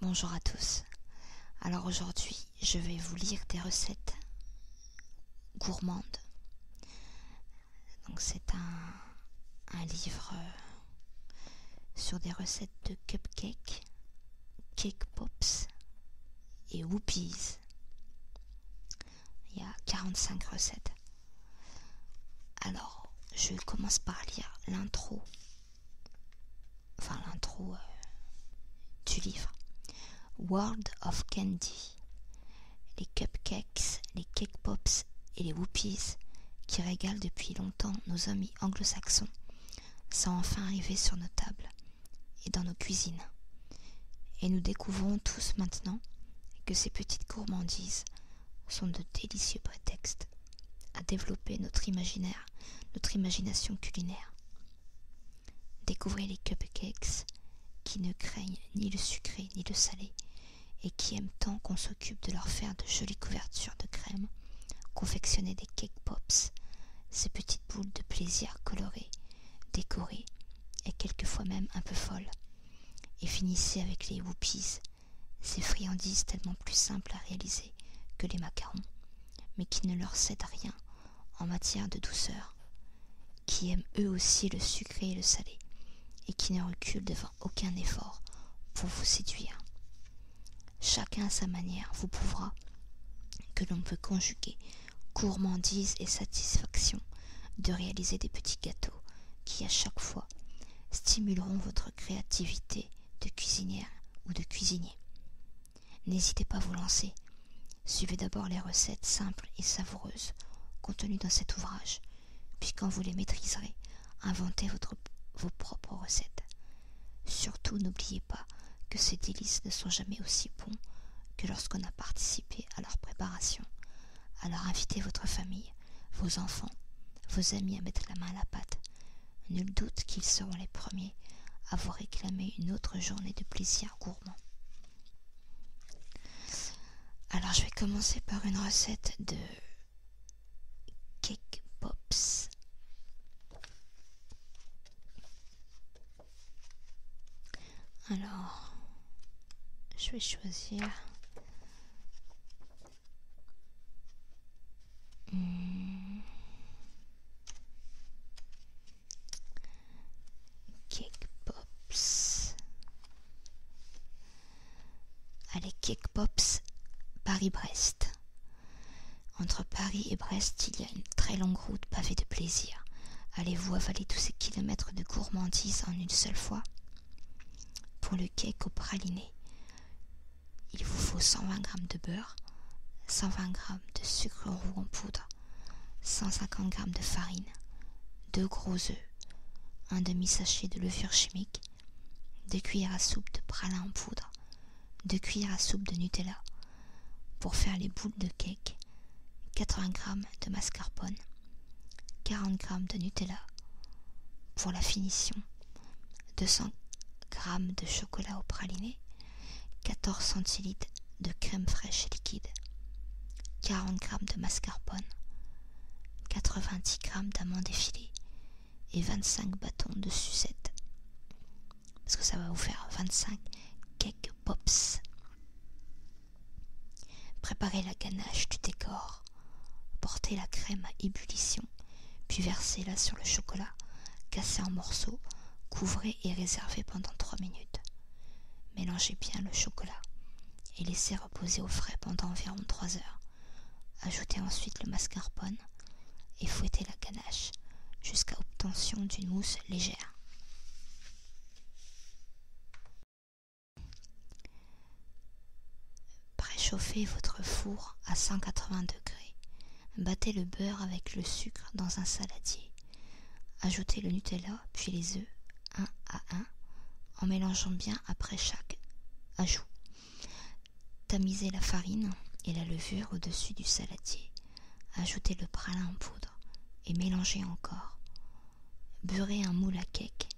Bonjour à tous. Alors aujourd'hui, je vais vous lire des recettes gourmandes. Donc c'est un, un, livre euh, sur des recettes de cupcakes, cake pops, et Whoopies. Il y a 45 recettes. Alors, je commence par lire l'intro. Enfin, l'intro euh, du livre. World of Candy. Les cupcakes, les cake pops et les whoopies qui régalent depuis longtemps nos amis anglo-saxons sont enfin arrivés sur nos tables et dans nos cuisines. Et nous découvrons tous maintenant que ces petites gourmandises sont de délicieux prétextes à développer notre imaginaire, notre imagination culinaire. Découvrez les cupcakes qui ne craignent ni le sucré ni le salé et qui aiment tant qu'on s'occupe de leur faire de jolies couvertures de crème, confectionner des cake pops, ces petites boules de plaisir colorées, décorées et quelquefois même un peu folles, et finissez avec les whoopies, ces friandises tellement plus simples à réaliser que les macarons, mais qui ne leur cèdent rien en matière de douceur, qui aiment eux aussi le sucré et le salé, et qui ne reculent devant aucun effort pour vous séduire. Chacun à sa manière vous prouvera que l'on peut conjuguer gourmandise et satisfaction de réaliser des petits gâteaux qui à chaque fois stimuleront votre créativité de cuisinière ou de cuisinier. N'hésitez pas à vous lancer. Suivez d'abord les recettes simples et savoureuses contenues dans cet ouvrage, puis quand vous les maîtriserez, inventez vos propres recettes. Surtout n'oubliez pas que ces délices ne sont jamais aussi bons que lorsqu'on a participé à leur préparation. Alors invitez votre famille, vos enfants, vos amis à mettre la main à la pâte. Nul doute qu'ils seront les premiers à vous réclamer une autre journée de plaisir gourmand. Alors je vais commencer par une recette de Cake Pops. Alors, je vais choisir. Hmm. Cake Pops. Allez, Cake Pops, Paris-Brest. Entre Paris et Brest, il y a une très longue route pavée de plaisir. Allez-vous avaler tous ces kilomètres de gourmandise en une seule fois Pour le cake au praliné, il vous faut 120 g de beurre, 120 g de sucre roux en poudre, 150 g de farine, deux gros œufs, un demi-sachet de levure chimique, de cuillères à soupe de pralin en poudre, de cuillères à soupe de Nutella. Pour faire les boules de cake, 80 g de mascarpone, 40 g de Nutella. Pour la finition, 200 g de chocolat au praliné, 14 centilitres de crème fraîche liquide, 40 g de mascarpone, 90 g d'amandes effilées, et 25 bâtons de sucette. Parce que ça va vous faire 25 cake pops. Préparez la ganache du décor. Portez la crème à ébullition, puis versez-la sur le chocolat, cassez en morceaux, couvrez et réservez pendant 3 minutes. Mélangez bien le chocolat et laissez poser au frais pendant environ 3 heures. Ajoutez ensuite le mascarpone et fouettez la ganache jusqu'à obtention d'une mousse légère. Préchauffez votre four à 180 degrés. Battez le beurre avec le sucre dans un saladier. Ajoutez le Nutella puis les œufs un à un en mélangeant bien après chaque ajout. Tamisez la farine et la levure au-dessus du saladier. Ajoutez le pralin en poudre et mélangez encore. Beurrez un moule à cake.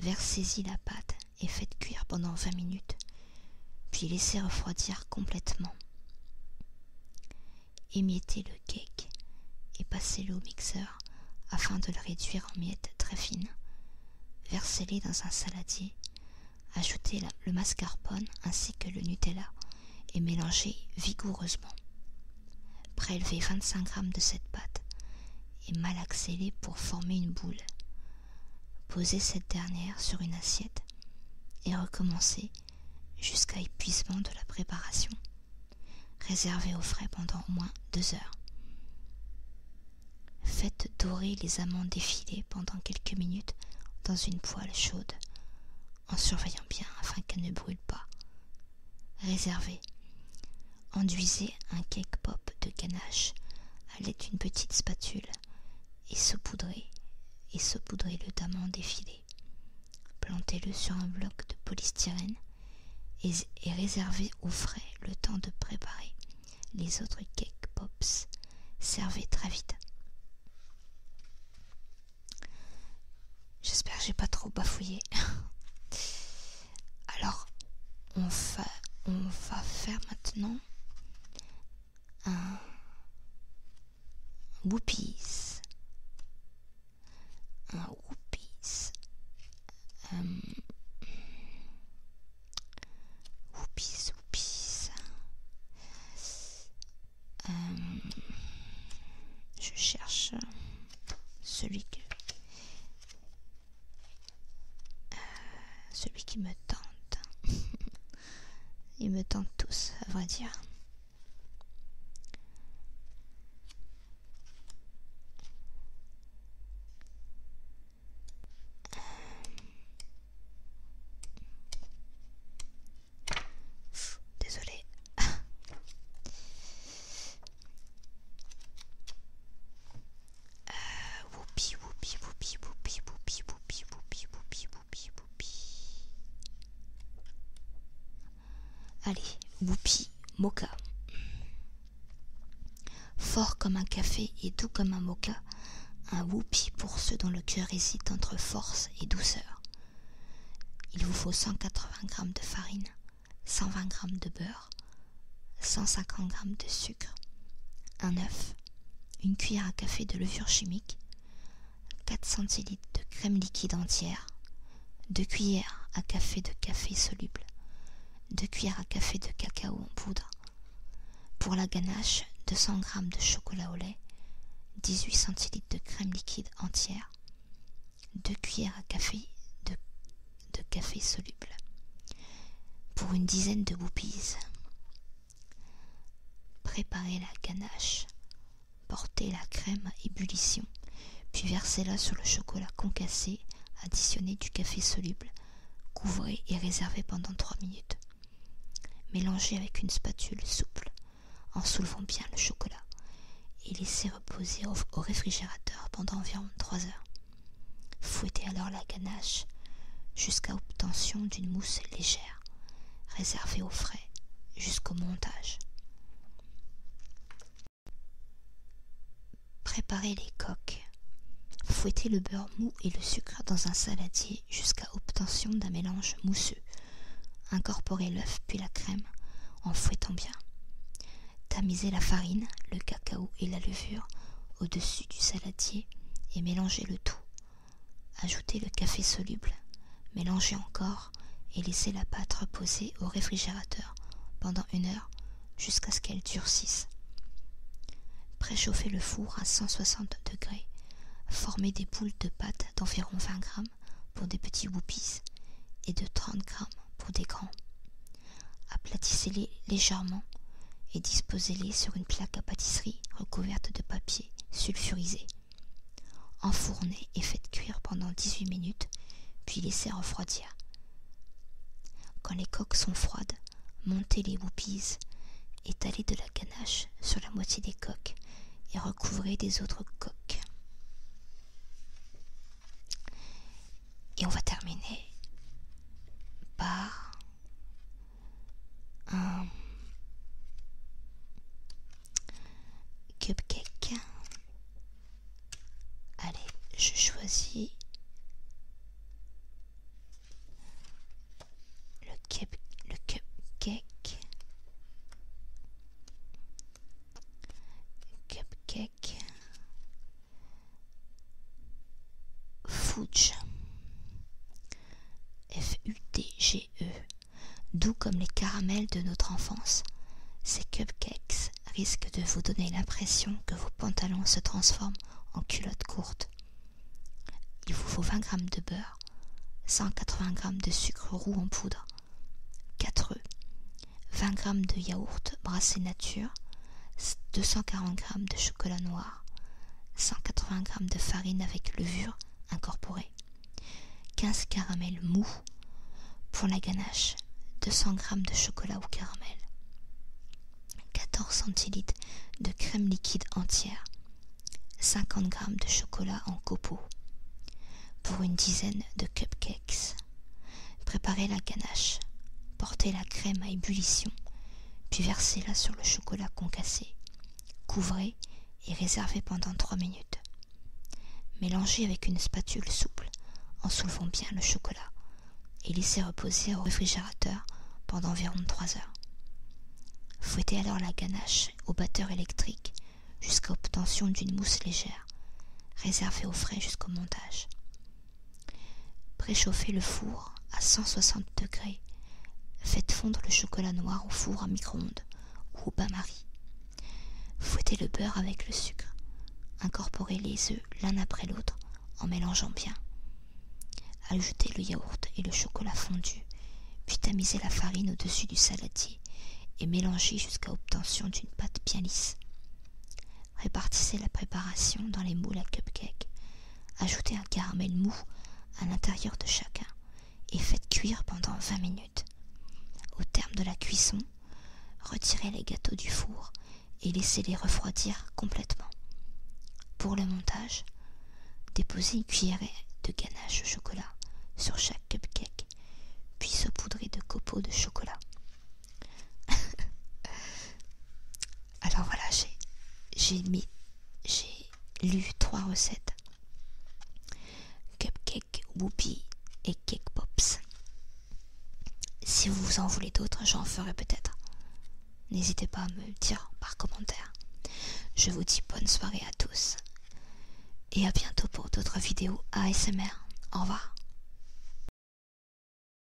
Versez-y la pâte et faites cuire pendant 20 minutes, puis laissez refroidir complètement. Émiettez le cake et passez-le au mixeur afin de le réduire en miettes très fines. Versez-les dans un saladier, ajoutez le mascarpone ainsi que le Nutella et mélangez vigoureusement. Prélevez 25 g de cette pâte et malaxez-les pour former une boule. Posez cette dernière sur une assiette et recommencez jusqu'à épuisement de la préparation. Réservez au frais pendant au moins deux heures. Faites dorer les amandes effilées pendant quelques minutes dans une poêle chaude, en surveillant bien afin qu'elles ne brûlent pas. Réservez. Enduisez un cake pop de ganache à l'aide d'une petite spatule et saupoudrez et saupoudrez-le d'amandes effilées. Plantez-le sur un bloc de polystyrène et, réservé au frais le temps de préparer les autres cake pops. Servez très vite. J'espère que j'ai pas trop bafouillé. Alors, on va, on va faire maintenant un Whoopies un euh, Whoopies. Um, whoopies, euh, je cherche celui que celui qui me tente. Ils me tentent tous, à vrai dire. Désolée. Euh, woupi, woupi, woupi, woupi, woupi, woupi, woupi, woupi, woupi, woupi. Allez, Whoopi, mocha. Fort comme un café et doux comme un mocha, un Whoopi pour ceux dont le cœur hésite entre force et douceur. Il vous faut 180 g de farine, 120 g de beurre, 150 g de sucre, un œuf, une cuillère à café de levure chimique, 4 centilitres de crème liquide entière, 2 cuillères à café de café soluble, 2 cuillères à café de cacao en poudre. Pour la ganache, 200 g de chocolat au lait, 18 centilitres de crème liquide entière, 2 cuillères à café de, café soluble. Pour une dizaine de boupises préparez la ganache. Portez la crème à ébullition, puis versez-la sur le chocolat concassé, additionnez du café soluble, couvrez et réservez pendant 3 minutes. Mélangez avec une spatule souple en soulevant bien le chocolat et laissez reposer au, réfrigérateur pendant environ 3 heures. Fouettez alors la ganache jusqu'à obtention d'une mousse légère réservé frais, jusqu'au montage. Préparez les coques. Fouettez le beurre mou et le sucre dans un saladier jusqu'à obtention d'un mélange mousseux. Incorporez l'œuf puis la crème en fouettant bien. Tamisez la farine, le cacao et la levure au-dessus du saladier et mélangez le tout Ajoutez le café soluble, mélangez encore et laissez la pâte reposer au réfrigérateur pendant une heure jusqu'à ce qu'elle durcisse. Préchauffez le four à 160 degrés. Formez des boules de pâte d'environ 20 g pour des petits whoopies et de 30 grammes pour des grands. Aplatissez-les légèrement et disposez-les sur une plaque à pâtisserie recouverte de papier sulfurisé. Enfournez et faites cuire pendant 18 minutes, puis laissez refroidir. Quand les coques sont froides, montez les whoopies, étalez de la ganache sur la moitié des coques et recouvrez des autres coques. Et on va terminer par cupcake. Euh, Allez, je choisis le, cup, le cupcake. Cupcake. Fudge f u e, doux comme les caramels de notre enfance, ces cupcakes risquent de vous donner l'impression que vos pantalons se transforment en culottes courtes. Il vous faut 20 g de beurre, 180 g de sucre roux en poudre, 4 œufs, 20 g de yaourt brassé nature, 240 g de chocolat noir, 180 g de farine avec levure incorporée, 15 caramels mous. Pour la ganache, 200 g de chocolat ou caramel, 14 centilitres de crème liquide entière, 50 g de chocolat en copeaux. Pour une dizaine de cupcakes, préparez la ganache, portez la crème à ébullition puis versez-la sur le chocolat concassé. Couvrez et réservez pendant trois minutes. Mélangez avec une spatule souple en soulevant bien le chocolat et laissez reposer au réfrigérateur pendant environ trois heures. Fouettez alors la ganache au batteur électrique jusqu'à obtention d'une mousse légère, réservée au frais jusqu'au montage. Préchauffez le four à soixante degrés. Faites fondre le chocolat noir au four à micro-ondes ou au bain-marie. Fouettez le beurre avec le sucre. Incorporez les œufs l'un après l'autre en mélangeant bien. Ajoutez le yaourt et le chocolat fondu, puis tamisez la farine au-dessus du saladier et mélangez jusqu'à obtention d'une pâte bien lisse. Répartissez la préparation dans les moules à cupcakes ajoutez un caramel mou à l'intérieur de chacun et faites cuire pendant 20 minutes. Au terme de la cuisson, retirez les gâteaux du four et laissez-les refroidir complètement. Pour le montage, déposez une cuillerée de ganache au chocolat sur chaque cupcake, puis saupoudrez de copeaux de chocolat. Alors voilà, j'ai lu trois recettes cupcake, Whoopi et cake pops. Si vous en voulez d'autres, j'en ferai peut-être. N'hésitez pas à me dire par commentaire. Je vous dis bonne soirée à tous et à bientôt pour d'autres vidéos ASMR. Au revoir.